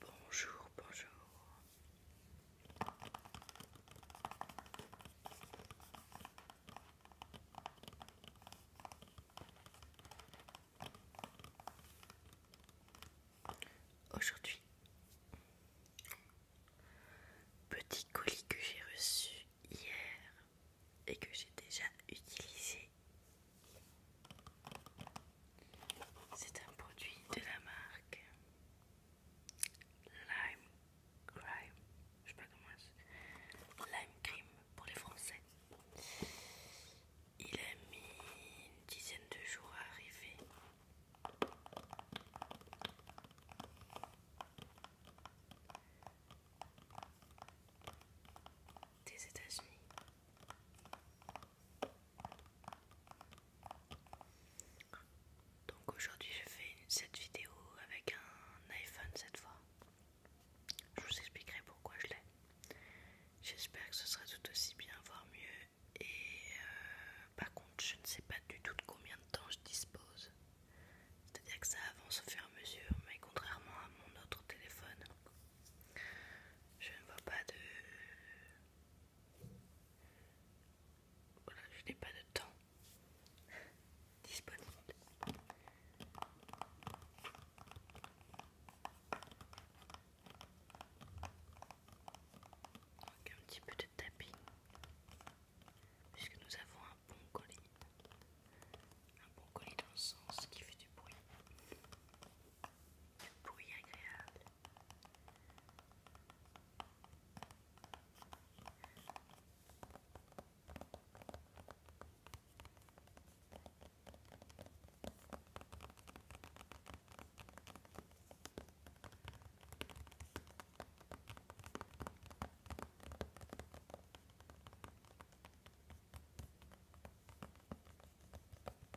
Bonjour, bonjour. Aujourd'hui, petit colis que j'ai reçu hier et que j'ai déjà utilisé c'est un produit de la marque Lime Crime. Je sais pas comment Lime Cream pour les Français. Il a mis une dizaine de jours à arriver. Des États-Unis. Donc aujourd'hui je fais cette vidéo avec un iPhone cette fois. Je vous expliquerai pourquoi je l'ai. J'espère que ce sera tout aussi bien, voire mieux. Et euh, par contre je ne sais pas du tout de combien de temps je dispose. C'est-à-dire que ça avance au fur et à mesure, mais contrairement à mon autre téléphone, je ne vois pas de... Voilà, je n'ai pas de temps disponible. Donc un petit peu de tapis, puisque nous avons un bon colis. Un bon colis dans le sens qui fait du bruit du bruit agréable.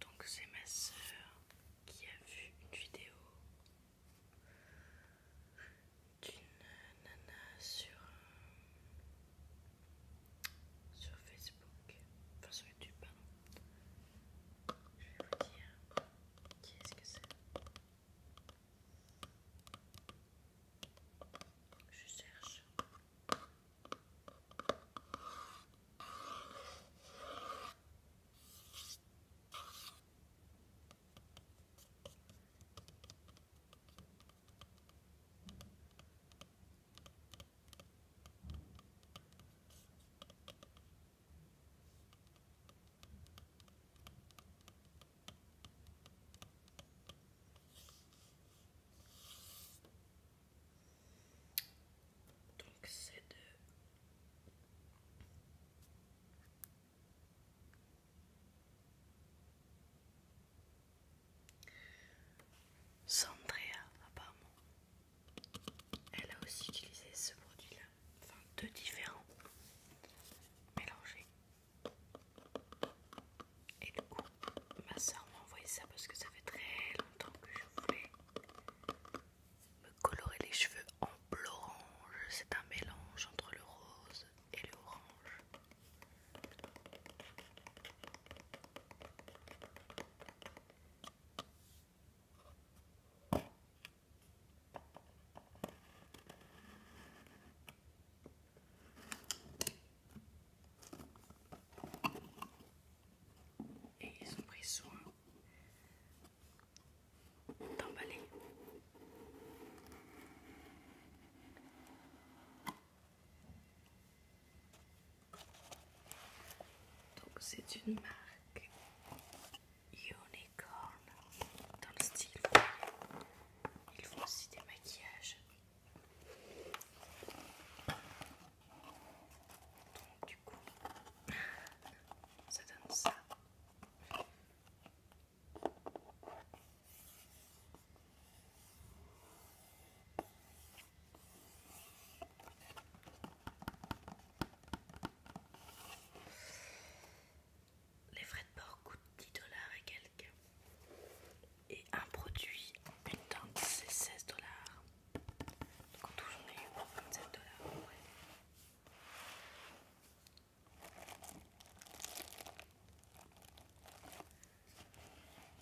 Donc c'est ma sœur qui a vu une vidéo d'une nana sur, sur Facebook, enfin sur YouTube pardon. Je vais vous dire qui est-ce que c'est. Je cherche. Donc c'est de Sandrea apparemment. Elle a aussi utilisé ce produit là enfin deux différents mélangés. Et du coup, ma soeur m'a envoyé ça parce que ça fait très longtemps que je voulais me colorer les cheveux en bleu orange. C'est un mélange entre le rose et le orange. Et ils ont pris soin d'emballer. Donc c'est une marque unicorn dans le style. Ils font aussi des maquillages. Donc, du coup, ça donne ça les frais de port coûtent 10 dollars et quelques. Et un produit, une tente, c'est 16 dollars. Donc en tout, j'en ai eu pour 27 dollars.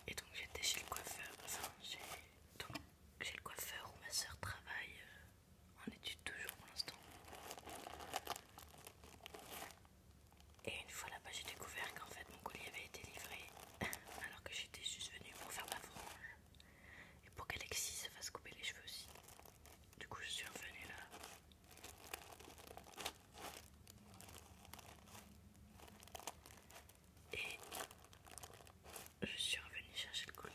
Et donc j'étais chez le coiffeur, enfin chez le coiffeur où ma soeur travaille euh, en études toujours pour l'instant. Et une fois là-bas, j'ai découvert qu'en fait mon colis avait été livré alors que j'étais juste venue pour faire ma frange et pour qu'Alexis se fasse couper les cheveux aussi. Du coup, je suis revenue là. Et je suis revenue chercher le colis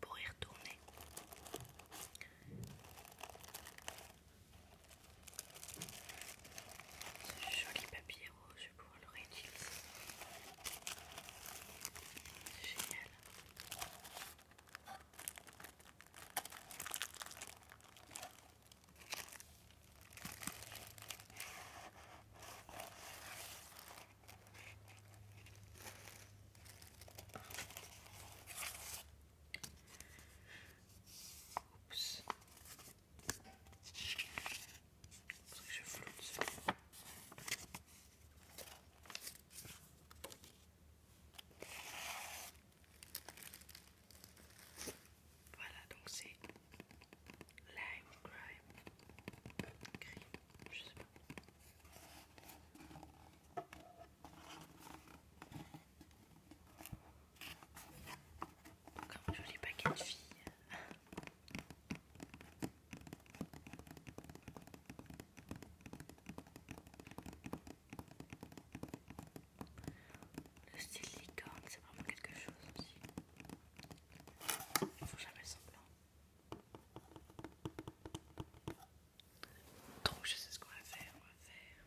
pour y retourner. Ce joli papier rouge, je le C'est génial. Oups. Parce que je floute. Voilà, donc c'est lime crime, crime, je sais pas. Comme un joli paquet de filles. Le style licorne, c'est vraiment quelque chose aussi. ne faut jamais s'en semblant. Donc je sais ce qu'on va faire, on va faire.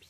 Petit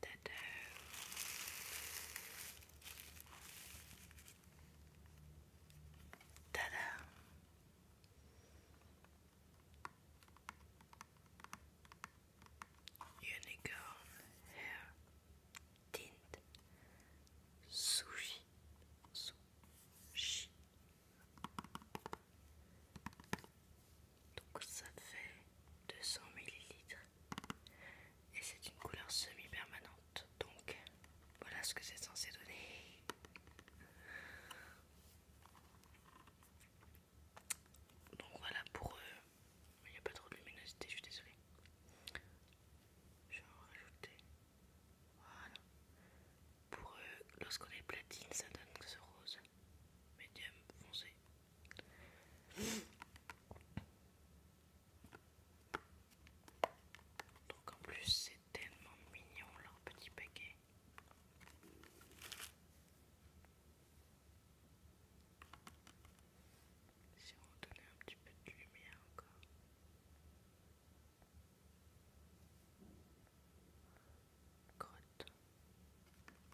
Tada Tada Unicorn hair tint sushi sushi donc ça fait 200 ml et c'est une couleur semi-permanente donc voilà ce que c'est censé donner donc voilà pour eux il n'y a pas trop de luminosité je suis désolée je vais en rajouter voilà pour eux lorsqu'on est platine ça donne ce rose médium foncé donc en plus c'est tellement mignon leur petit paquet. Si on donner un petit peu de lumière encore. Grotte.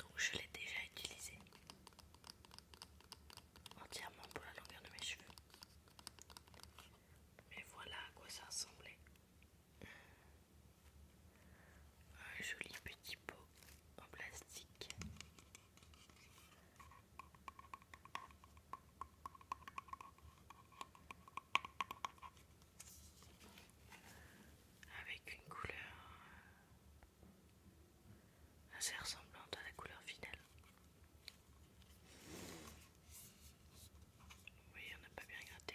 Donc je l'ai déjà utilisé entièrement pour la longueur de mes cheveux. Mais voilà à quoi ça ressemblait un joli petit pot en plastique. Avec une couleur assez ressemblante à la couleur finale. Oui, on n'a pas bien gratté.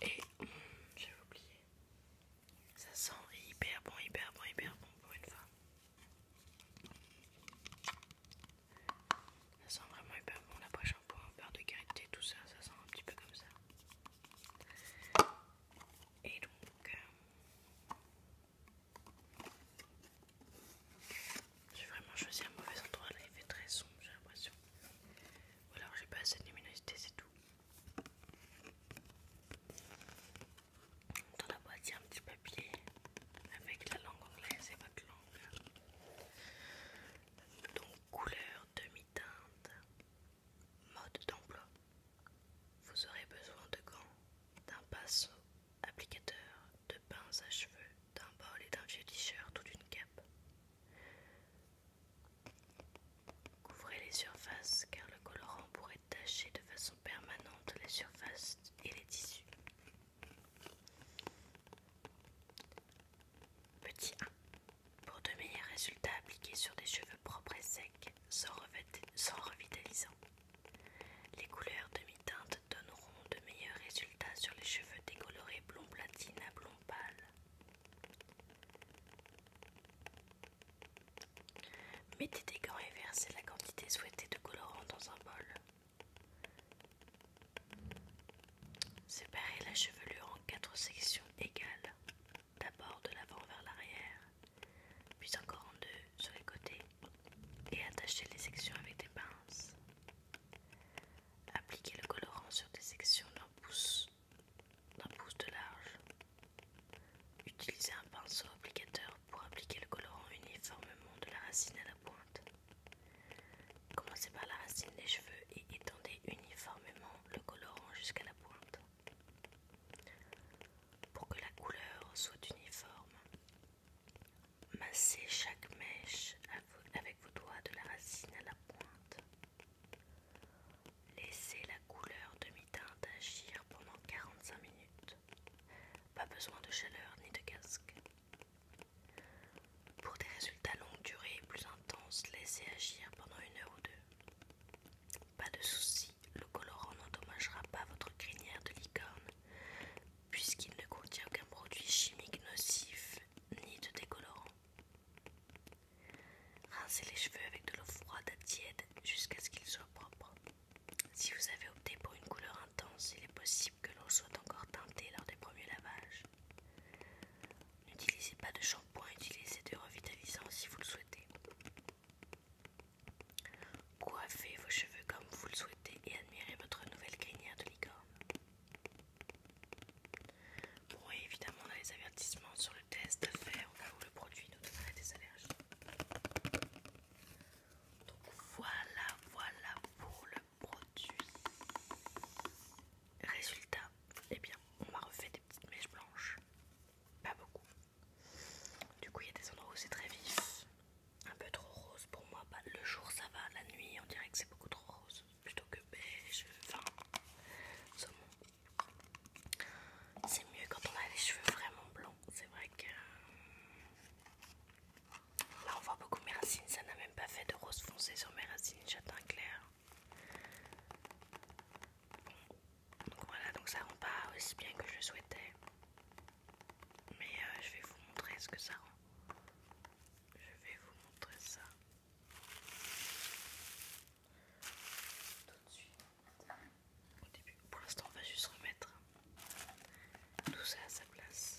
Et hmm, j'ai oublié. Ça sent hyper bon, hyper bon, hyper bon pour une fois. Ça sent vraiment hyper bon. La poche shampoing, point, de qualité tout ça, ça sent un petit peu comme ça. Et donc, euh, j'ai vraiment choisi un mauvais endroit là, il fait très sombre, j'ai l'impression. Ou alors j'ai pas assez de luminosité, c'est tout. Dans la boîte, il y a un petit papier avec la langue anglaise et votre langue. Donc, couleur, demi-teinte, mode d'emploi. Vous aurez besoin de gants, d'un pinceau, applicateur, de pinces à cheveux, d'un bol et d'un vieux t-shirt ou d'une cape. Couvrez les surfaces car le colorant pourrait tacher de façon permanente les surfaces et les tissus. Petit 1. Pour de meilleurs résultats appliquez sur des cheveux propres et secs, sans, sans revitalisant. Les couleurs demi-teintes donneront de meilleurs résultats sur les cheveux décolorés blond platine à blond pâle. Mettez des gants et versez la quantité souhaitée de colorant dans un bol. Séparez la chevelure en quatre sections égales, d'abord de l'avant vers l'arrière puis encore en deux sur les côtés et attachez les sections avec des pinces. Appliquez le colorant sur des sections d'un pouce, pouce de large. Utilisez un pinceau applicateur pour appliquer le colorant uniformément de la racine à la pointe. Commencez par la racine des cheveux et étendez uniformément le colorant jusqu'à la pointe. Pour que la couleur soit uniforme, massez chaque mèche avec vos doigts de la racine à la pointe. Laissez la couleur demi-teinte agir pendant 45 minutes. Pas besoin de chaleur ni de casque. Pour des résultats longue durée et plus intenses, laissez agir pendant une heure ou deux. Pas de soucis, le colorant n'endommagera pas votre crinière de licorne, puisqu'il ne contient aucun produit chimique nocif ni de décolorant. Rincez les cheveux avec de l'eau froide à tiède jusqu'à ce qu'ils soient propres. Si vous avez opté pour une couleur intense, il est possible que l'eau soit encore teintée lors des premiers lavages. N'utilisez pas de shampoing, utilisez de revitalisant si vous le souhaitez. Coiffez vos cheveux comme vous le souhaitez et admirez votre nouvelle crinière de licorne. Bon, évidemment, on a les avertissements sur le test de faire où le produit nous donnerait des allergies. Donc voilà, voilà pour le produit. Résultat, eh bien, on m'a refait des petites mèches blanches. Pas beaucoup, du coup, il y a des endroits où c'est très vif, un peu trop rose pour moi. Bah, le jour ça va, la nuit on dirait que c'est beaucoup trop rose plutôt que beige, enfin saumon. C'est mieux quand on a les cheveux vraiment blancs. C'est vrai que euh, là on voit beaucoup mes racines. Ça n'a même pas fait de rose foncée sur mes racines, j'atteins clair. Donc voilà, donc ça rend pas aussi bien que je le souhaitais. Mais euh, je vais vous montrer ce que ça rend. Je vais vous montrer ça. Tout de suite. Au début. Pour l'instant, on va juste remettre tout ça à sa place.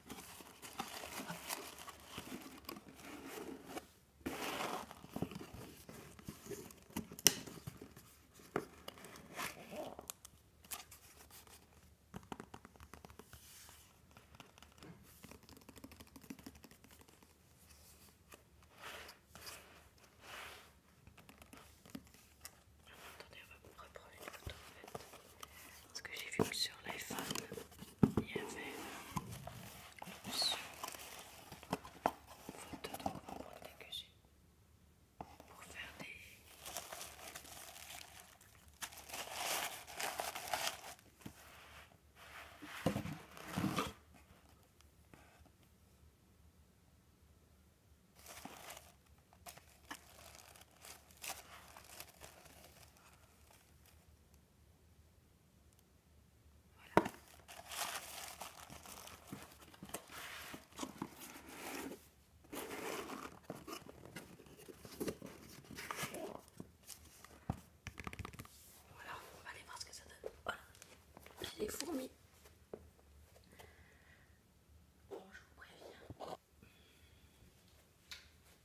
Attendez, on va reprendre une photo en fait. Parce que j'ai vu que sur l'iPhone, il y avait l'option photo donc on va que j'ai pour faire des voilà. on va aller voir ce que ça donne. Voilà, j'ai les fourmis. Bon, oh, je vous préviens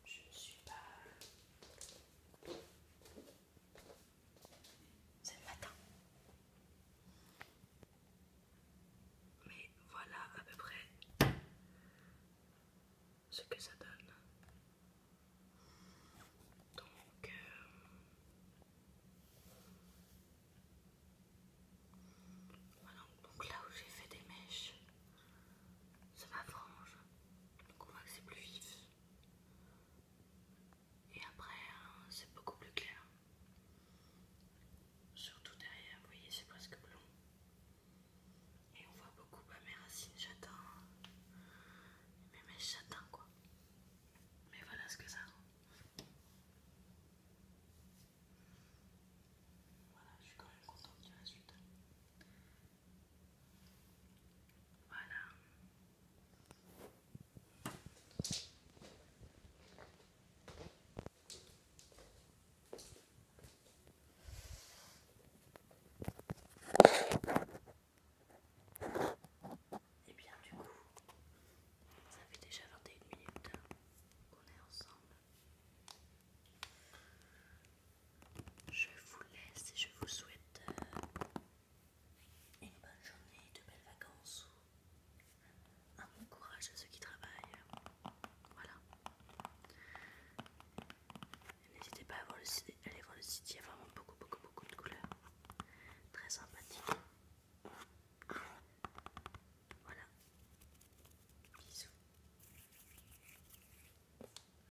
je ne suis pas. C'est le matin. Mais voilà à peu près ce que ça donne. Donc. Euh, voilà, donc là où j'ai fait des mèches, c'est ma frange. Donc on voit que c'est plus vif. Et après, hein, c'est beaucoup plus clair. Surtout derrière, vous voyez, c'est presque blond. Et on voit beaucoup mes racines mais Mes mèches quoi. Mais voilà ce que ça rend. Voilà, je suis quand même contente du résultat. Voilà. Et bien du coup, ça fait déjà 21 minutes qu'on est ensemble. Je vous laisse et je vous souhaite euh, une bonne journée, de belles vacances, un bon courage à ceux qui travaillent. Voilà. N'hésitez pas à voir le aller voir le site, il y a vraiment beaucoup, beaucoup, beaucoup de couleurs. Très sympathique. Voilà. Bisous.